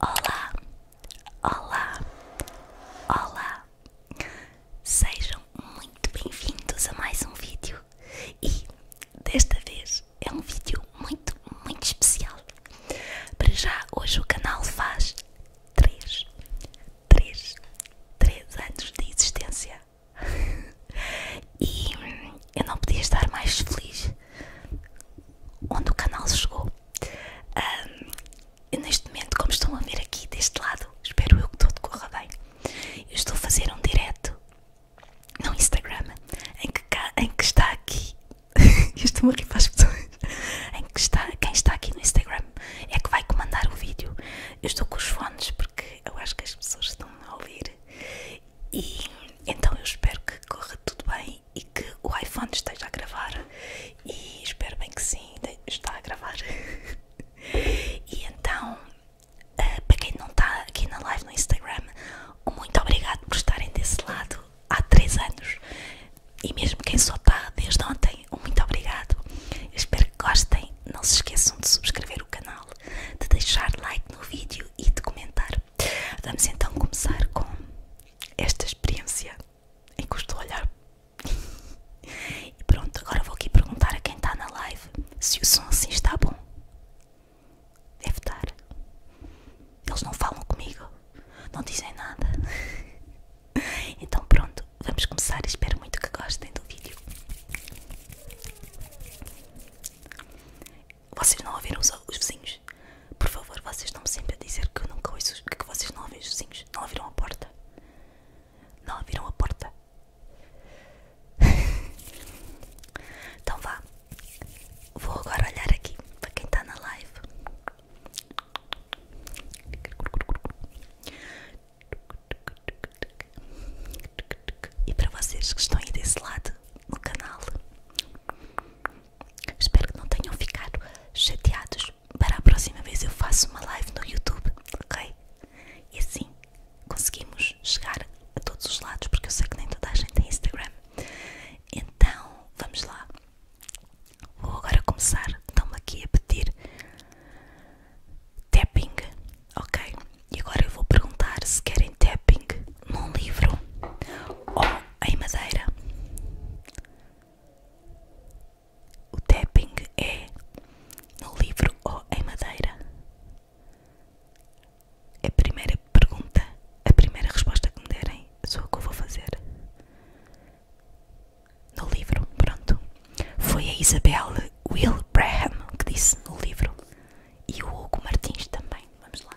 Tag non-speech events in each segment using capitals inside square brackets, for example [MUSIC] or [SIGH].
Olá, olá, olá. Sejam muito bem-vindos a mais um vídeo e desta vez é um vídeo muito, muito especial. Para já, hoje o canal faz 3, 3, 3 anos de existência [LAUGHS] e eu não podia estar mais feliz onde o canal chegou. Um, neste momento, como estão a ver aqui deste lado, espero eu que tudo corra bem. Eu estou a fazer um directo no Instagram em que, está aqui estou-me a rir para as pessoas em que está, quem está aqui no Instagram é que vai comandar o vídeo eu estou com os fones porque eu acho que as pessoas estão a ouvir e então eu espero que corra tudo bem e que o iPhone esteja a gravar e espero bem que sim, está a gravar [LAUGHS] e então ah, para quem não está aqui na live no Instagram, muito obrigado por estarem desse lado há 3 anos e mesmo quem só está desde ontem, muito obrigado. espero que gostem. Não se esqueçam de subscrever o canal, de deixar like no vídeo e de comentar. Vamos então começar com esta experiência em custo eu [LAUGHS] e pronto, agora vou aqui perguntar a quem está na live se o som assim está bom. Deve estar. Eles não falam comigo, não dizem nada. [LAUGHS] Então pronto, vamos começar. Espero muito que gostem do vídeo. Vocês não ouviram os, vizinhos? Por favor, vocês estão-me sempre a dizer que eu nunca ouço que vocês não ouvem os vizinhos. Não ouviram a porta? Não ouviram a porta? [LAUGHS] então vá. Vou agora olhar aqui para quem está na live. E para vocês que estão aí desse lado no canal, espero que não tenham ficado chateados. Para a próxima vez eu faço uma live no YouTube, ok? E assim conseguimos chegar a todos os lados, porque eu sei que nem toda a gente tem Instagram. Então, vamos lá. Vou agora começar, então aqui a pedir tapping, ok? E agora eu vou perguntar se querem tapping num livro ou em madeira. O tapping é no livro ou em madeira. A primeira pergunta, a primeira resposta que me derem, sou a que eu vou fazer. No livro, pronto. Foi a Isabel Will Braham que disse no livro. E o Hugo Martins também. Vamos lá.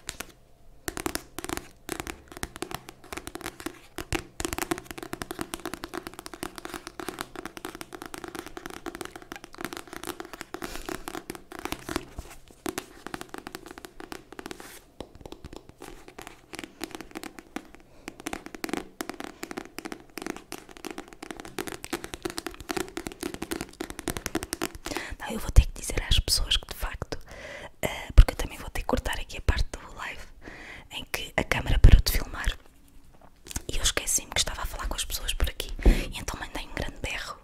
Não, eu vou ter que dizer às pessoas que de facto, eh, porque eu também vou ter que cortar aqui a parte do live em que a câmera parou de filmar e eu esqueci-me que estava a falar com as pessoas por aqui, então mandei um grande berro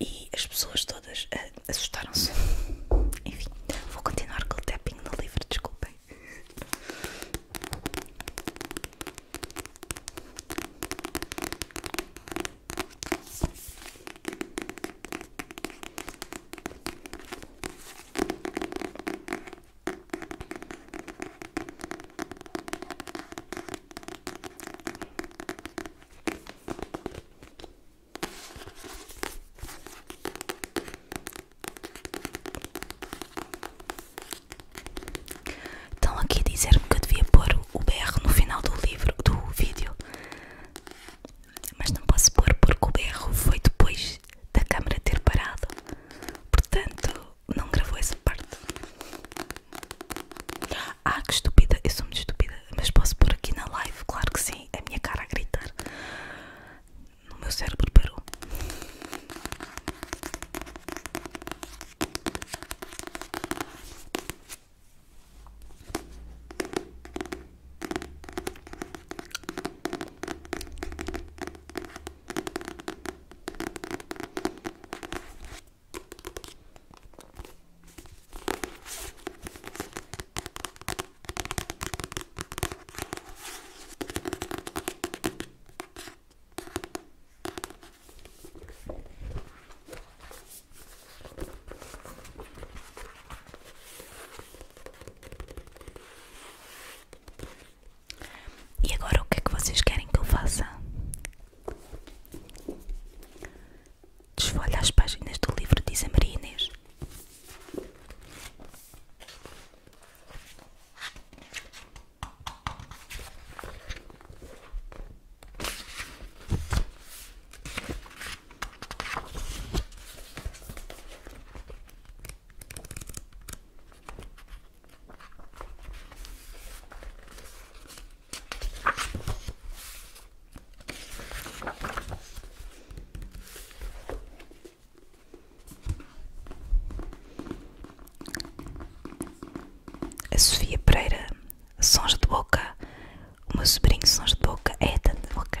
e as pessoas todas eh, assustaram-se. [LAUGHS] Enfim, vou continuar com o tapping no livro, desculpem. Estão aqui a dizer-me que eu devia pôr o BR no final do livro, do vídeo, mas não posso pôr porque o BR foi depois da câmera ter parado, portanto não gravou essa parte. Ah, que estúpida, eu sou muito estúpida, mas posso pôr aqui na live, claro que sim, a minha cara a gritar. No meu cérebro parou. E agora o que é que vocês querem que eu faça? Desfolha as páginas do livro, diz a a Sofia Pereira, sons de boca. O meu sobrinho, sons de boca. É tanto de boca.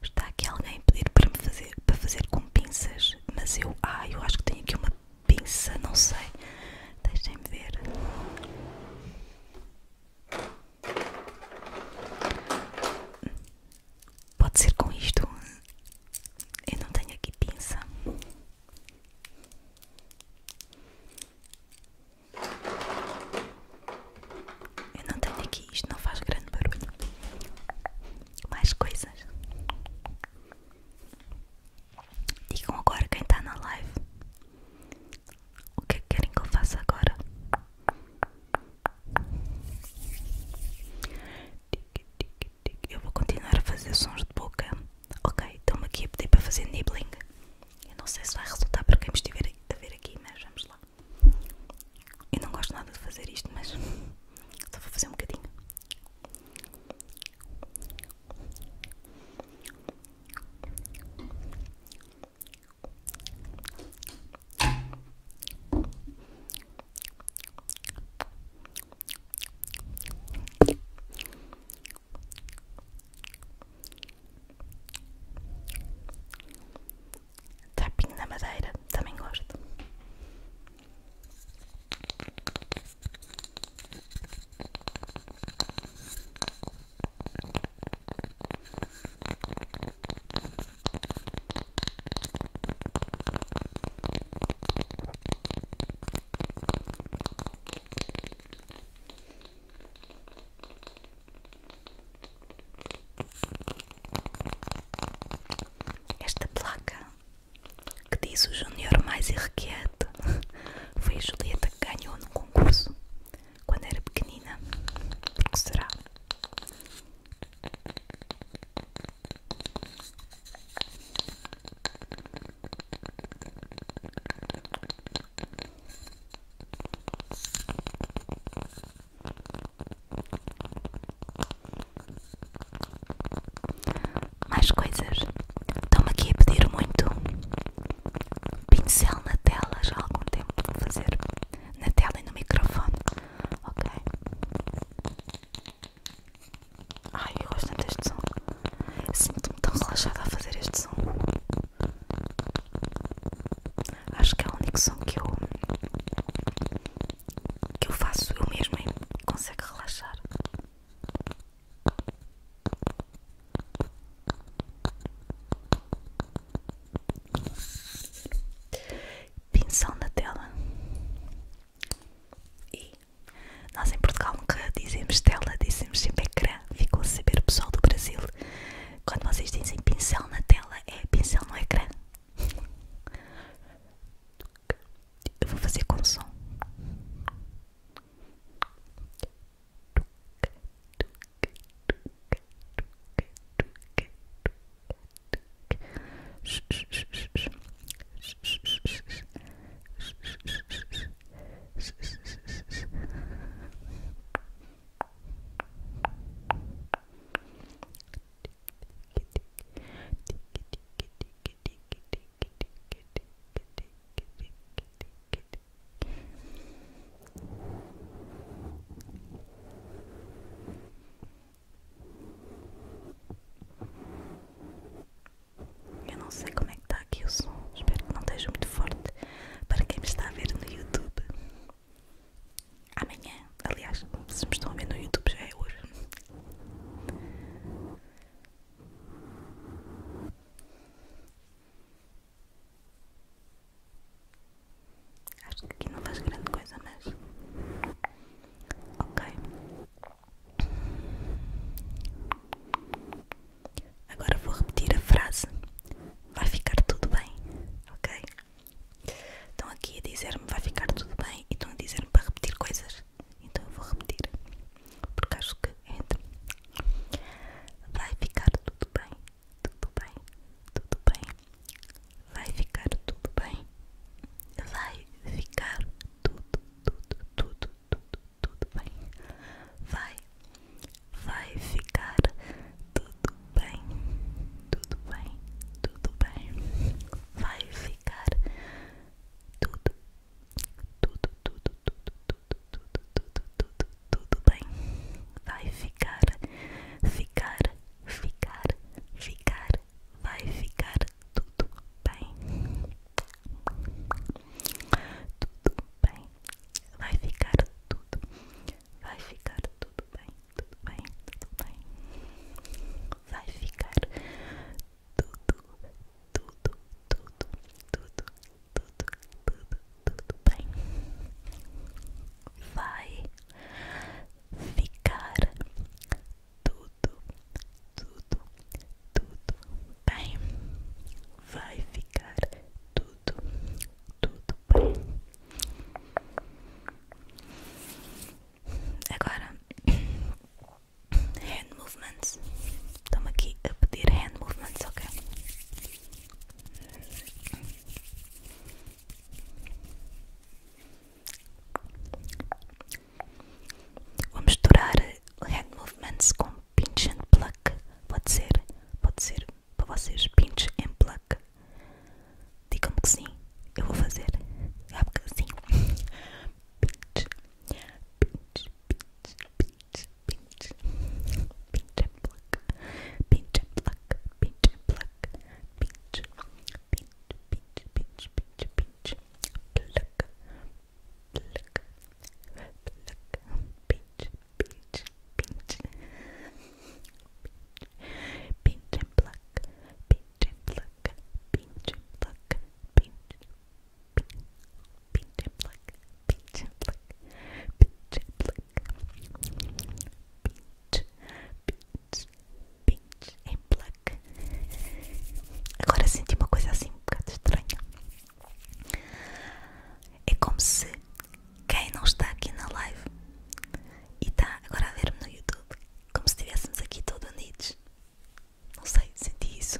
Está aqui alguém pedir para me fazer, para fazer com pinças, mas eu, ah, eu acho que tenho aqui uma pinça, não sei. Deixem-me ver. Pode ser com isto. Eu não tenho aqui pinça. Eu não tenho aqui, isto não faz grande barulho. Mais coisas. Digam agora quem está na live. O que é que querem que eu faça agora? Eu vou continuar a fazer sons de boca. Ok, estão-me aqui a pedir para fazer nibbling. Eu não sei se vai resultar para quem me estiver a ver aqui, mas vamos lá. Eu não gosto nada de fazer isto, mas só vou fazer um bocadinho. Tapinho na madeira, também gosto. Esta placa que diz o Júnior mais irrequieto foi a Julieta que ganhou no concurso quando era pequenina. Por será? Mais coisas. Estão-me aqui a pedir muito pincel na tela já há algum tempo. Vou fazer na tela e no microfone. Ok? Ai, eu gosto deste som. Sinto-me tão relaxada a fazer este som. Acho que é o único som que eu que eu faço eu mesmo e consegue relaxar. Pinção na tela. E nós em Portugal nunca dizemos tela, dizemos sempre ecrã. Ficou a saber o pessoal do Brasil. Quando vocês dizem pincel na tela, é pincel no ecrã. Eu vou fazer com som. Eu não sei como é que está aqui o som, espero que não esteja muito forte para quem me está a ver no YouTube amanhã. Aliás, se me estão a ver no YouTube, já é hoje. Acho que aqui não faz grande coisa, mas. Ok. Agora vou repetir a frase. Vai ficar tudo bem, ok? Estão aqui a dizer-me vai ficar tudo bem e estão a dizer-me para repetir coisas. Então eu vou repetir. Porque acho que entra. Vai ficar tudo bem, tudo bem, tudo bem. Vai ficar tudo bem. Vai ficar tudo, tudo, tudo, tudo, tudo bem. Vai vai ficar tudo bem, tudo bem, tudo bem, vai ficar tudo, tudo, tudo, tudo, tudo, tudo, tudo, tudo, tudo bem, vai ficar, ficar, ficar, ficar, vai ficar tudo bem. Tudo bem, vai ficar tudo, Vai ficar tudo bem, tudo bem, tudo bem. Vai ficar tudo, tudo, tudo, tudo, tudo, tudo, tudo, bem. Vai ficar tudo, tudo, tudo bem. Vai ficar tudo, tudo bem. Agora, hand movements. Estamos aqui a pedir hand movements, ok? Vou misturar hand movements com pinch and pluck. Pode ser, pode ser para vocês pinch and pluck. Digam-me que sim, eu vou fazer. É um bocadinho. Pinch, pinch, pinch, pinch, pinch. Pinch and pluck. Pinch and pluck. Pinch and pluck. Pinch, pinch, pinch, pinch, pinch, pinch. Pluck, pluck, pluck. Pinch, pinch, pinch, pinch, pinch and pluck, pinch and pluck, pinch and pluck, pinch, pinch, pinch and pluck, pinch and pluck, pinch and pluck, pinch, pinch, pinch and pluck. Agora senti uma coisa assim um bocado estranha. É como se quem não está aqui na live e está agora a ver-me no YouTube, como se estivéssemos aqui todos unidos. Não sei, senti isso.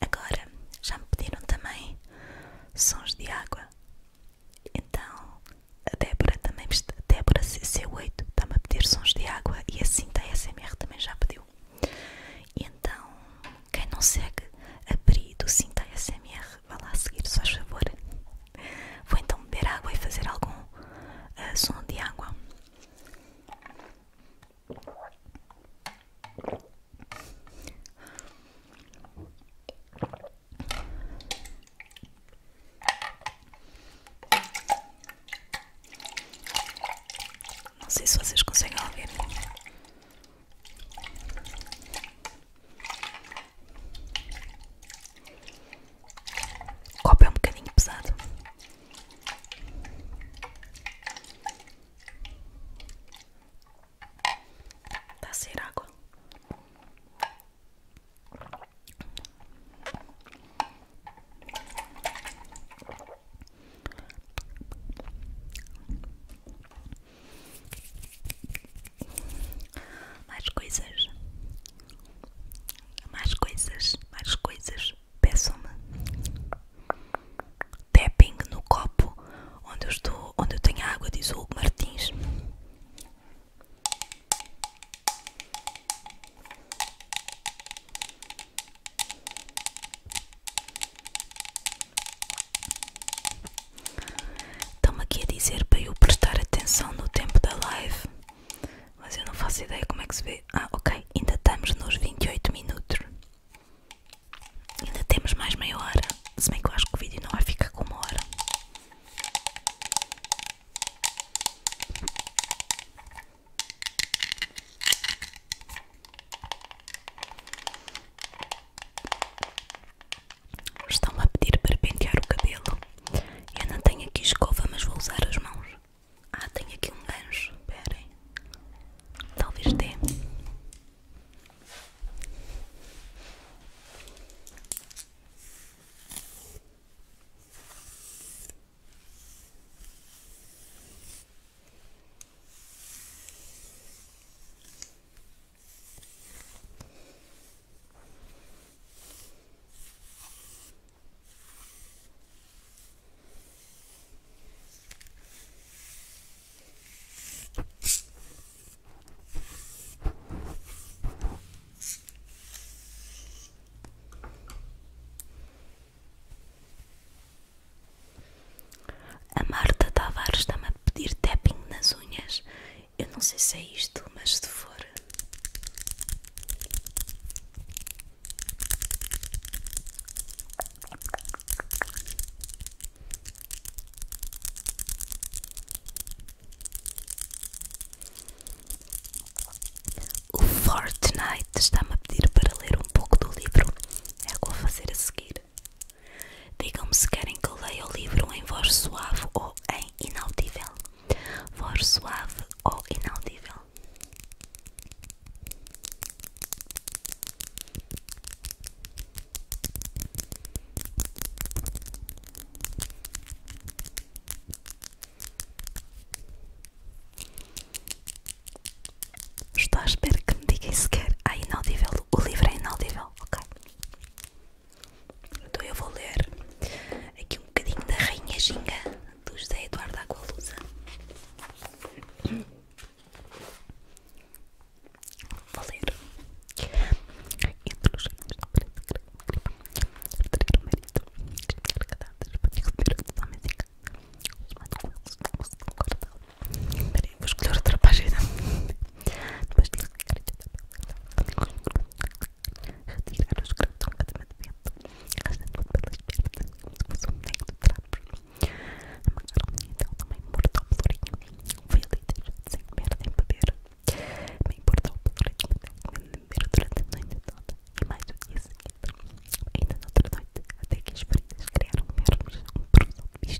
Agora já me pediram também sons de água. Então a Débora também a Débora CC8 está-me a pedir sons de água e a da SMR também já pediu. E então, quem não segue abri do Cinta SMR vá lá seguir, se faz favor. Vou então beber água e fazer algum eh, som de água. Não sei se vocês conseguem ouvir. O copo é um bocadinho pesado. Está a sair água. Mais coisas, mais coisas, mais coisas. Peçam-me. Tapping no copo onde eu estou, onde eu tenho água, diz o Martins. Estão-me aqui a dizer para eu prestar atenção no tempo da live, mas eu não faço ideia como é que se vê. Ah, ok, ainda estamos nos 28 minutos. Ainda temos mais meia hora. Se bem que eu acho que o vídeo não vai ficar com uma hora. Estão-me a pedir para pentear o cabelo. Eu não tenho aqui escova, mas vou usar as mãos. Ah, tenho aqui um gancho. Esperem. Talvez dê. A Marta Tavares também pedir tapping nas unhas. Eu não sei se é isto, mas se for. O Fortnite está-me a pedir para ler um pouco do livro. É o que vou fazer a seguir. Digam-me se querem que eu leia o livro em voz suave ou em inaudível. Voz suave ou inaudível. Estou à espera que me digam se quer a inaudível o livro é inaudível, ok? Então eu vou ler aqui um bocadinho da Rainha Ginga do José Eduardo Agualusa. Vou ler. Entre os reinos da preta grama, marido, Peraí, vou escolher outra página. Depois de retirar os grãos do casamento, arrastando-o pelas pernas, como se fosse um negro de trapos. Amarraram-me então também morto ao pelourinho. Fui ali deixado sem comer nem beber. Me importou o pelourinho, mas nem beber durante a noite toda e mais o dia seguinte. Ainda noutra noite, até que as feridas criaram vermos um bruxo de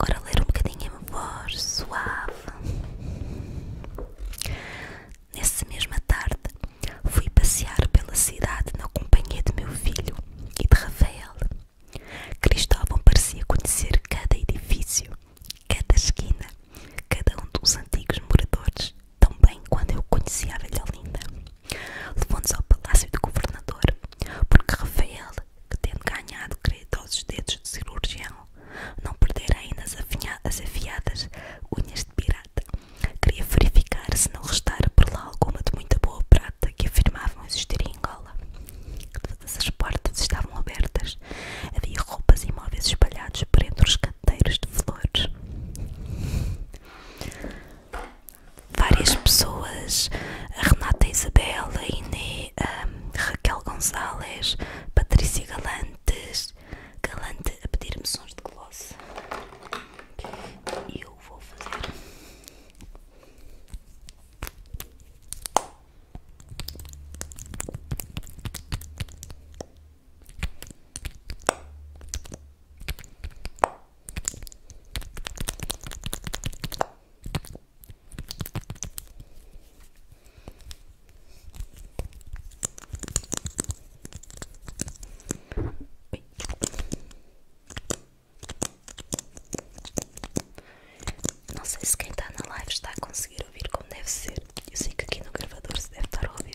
Agora ler um bocadinho em voz suave. Nessa mesma tarde, fui passear pela cidade na companhia de meu filho e de Rafael. Cristóvão parecia conhecer cada edifício, cada esquina, cada um dos antigos moradores tão bem quando eu conheci a velha linda. Levou-nos ao palácio do governador, porque Rafael, que tendo ganhado creditosos dedos de cirurgião, não perdera ainda as, afiadas unhas de pirata, queria verificar se não restara por lá alguma de muita boa prata que afirmavam existir em Angola. Todas as portas estavam abertas, havia roupas e móveis espalhados por entre os canteiros de flores várias pessoas, a Renata Isabel, a Inê, Raquel Gonzalez, Patrícia Galantes, Galante a pedir-me sons de gloss e eu vou fazer. Não sei se quem está na live está a conseguir ouvir como deve ser. Eu sei que aqui no gravador se deve estar a ouvir.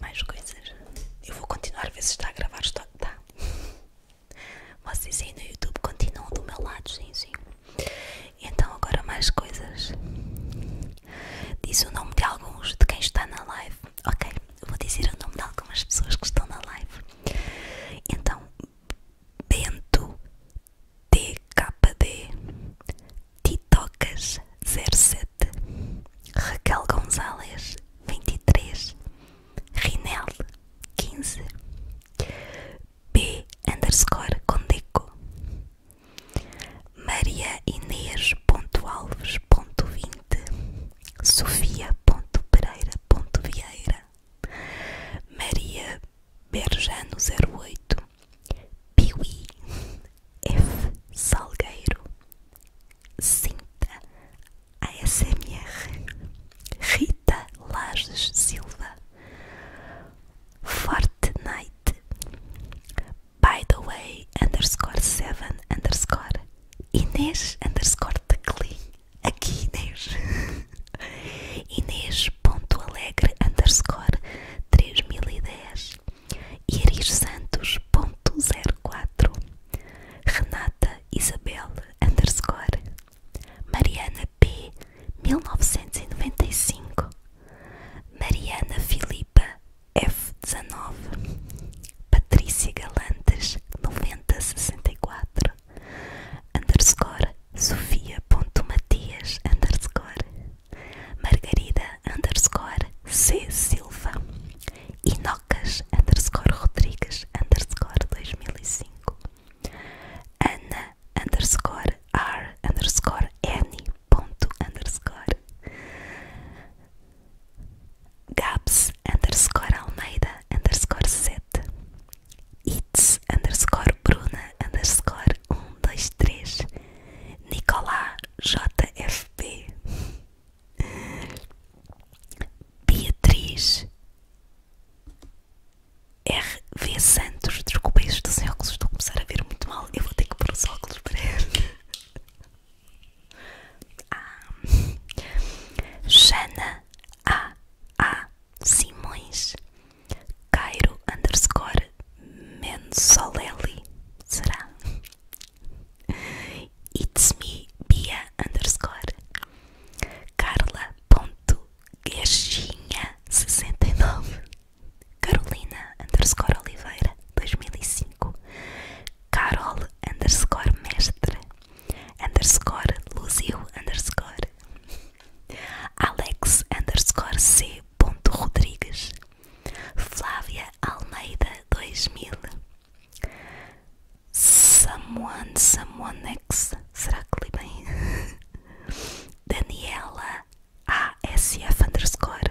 Mais coisas. Eu vou continuar a ver se está a gravar. Está. Tá. Vocês aí no YouTube continuam do meu lado, sim, sim. Então agora mais coisas. Diz o nome de alguns de quem está na live. Ok, vou dizer o nome de algumas pessoas que estão na live. Então, Bento TKD, Titocas 07, Raquel Gonzalez 23, Rinel 15, B underscore Condeco, Maria Inês.alves.20 Sofia. de Vieira. Maria Berjano 08 Piwi. F. Salgueiro Cinta ASMR Rita Lages Silva Fortnite By the way underscore 7 underscore Inês underscore Teclin. Aqui Inês. [LAUGHS] Inês.alegre underscore 3010. Iris Santos ponto Santos.04. Renata Isabel underscore. Mariana P. 1995. Mariana Filipe. Filipa F19, Patrícia Galantes 9064, underscore Sofia.matias underscore Margarida underscore C Silva Inocas underscore Rodrigues underscore 2005 Ana underscore R underscore N underscore Gabs underscore Almeida underscore 7 It's underscore Bruna underscore 123 Nicolá JFB Beatriz RV Santos, desculpa isto dos óculos, estou a começar a ver muito mal, eu vou ter que pôr os óculos para [LAUGHS] a ah. Jana A. A. Simões Cairo underscore Mensolelli será It's me Bia underscore Carla ponto e nove Carolina underscore Oliveira cinco Carol underscore mestre underscore Luzio underscore Alex underscore C ponto Rodrigues Flávia Almeida 2000 Someone Someone X será que li bem? [LAUGHS] Daniela ASF underscore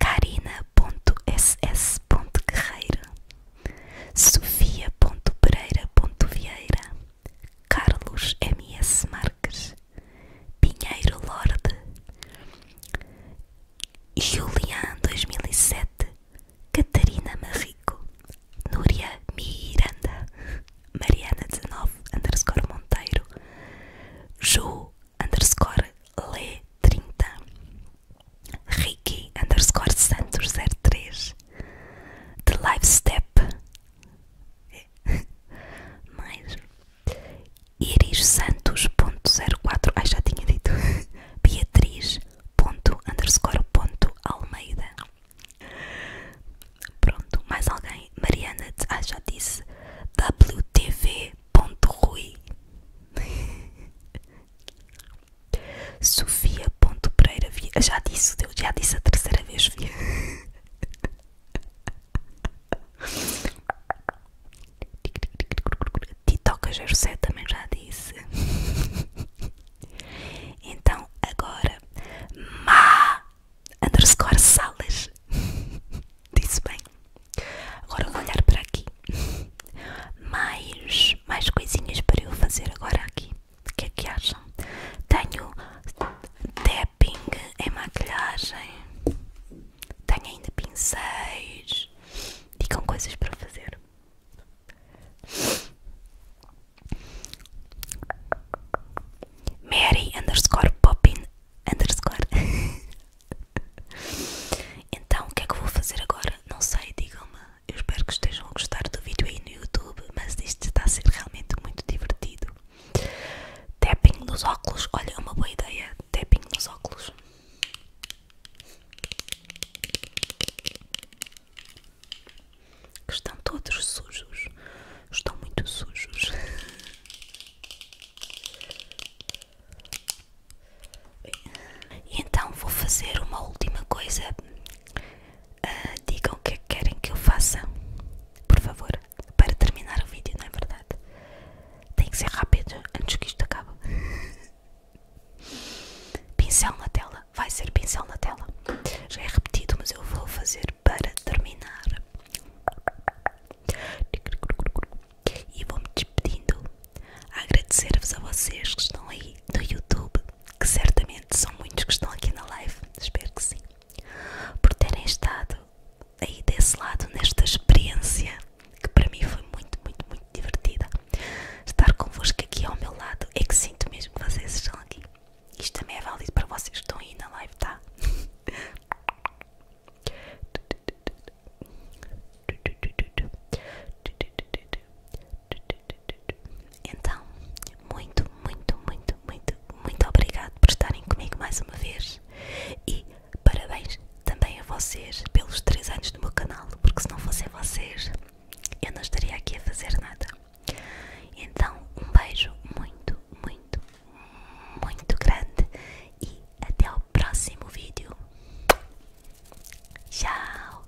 Karina.ss.guerreiro Sofia.pereira.vieira Carlos M.S. Marques Pinheiro Lorde Julian 2007 Catarina Marrico Núria Miranda Mariana 19 underscore Monteiro Ju underscore Le 30 Ricky underscore Santos 03 The Live Step [LAUGHS] mais Iris Santos.04 Ai já tinha dito [LAUGHS] Beatriz ponto underscore ponto Almeida Pronto, mais alguém Mariana, ah já disse wtv ponto WTV.rui [LAUGHS] Sofia Ponto Pereira Já disse, já disse a terceira vez, Sofia. Titoca 07 também já disse. Então, agora, Ma underscore Salas. Disse bem. Agora vou olhar para aqui. [LAUGHS] Mais, mais coisinhas para eu fazer agora aqui. O que é que acham? Tenho tapping em maquilhagem. Tenho ainda pincéis. Digam coisas para fazer. Mary underscore poppin underscore [LAUGHS] Então o que é que vou fazer agora? Não sei, digam-me. Eu espero que estejam a gostar do vídeo aí no YouTube, mas isto está a ser realmente muito divertido. Tapping nos óculos, olha, é uma boa ideia. Tapping nos óculos. estão todos sujos, estão muito sujos. [LAUGHS] então vou fazer uma última coisa. Uh, digam o é que querem que eu faça, por favor, para terminar o vídeo, não é verdade? Tem que ser rápido antes que isto acabe. [LAUGHS] pincel na tela, vai ser pincel na tela. Já é repetido, mas eu vou fazer para terminar. E vou-me despedindo a agradecer-vos a vocês que estão aí do YouTube, que certamente são muitos que estão aqui na live, espero que sim, por terem estado aí desse lado nesta experiência que para mim foi muito, muito, muito divertida. Estar convosco aqui ao meu lado é que sinto mesmo que vocês estão aqui. Isto também é válido para vocês que estão aí na live, tá? [LAUGHS] Então, muito, muito, muito, muito, muito obrigado por estarem comigo mais uma vez e parabéns também a vocês pelos três anos do meu canal, porque se não fossem vocês eu não estaria aqui a fazer nada. Então, um beijo muito, muito, muito grande e até o próximo vídeo. Tchau!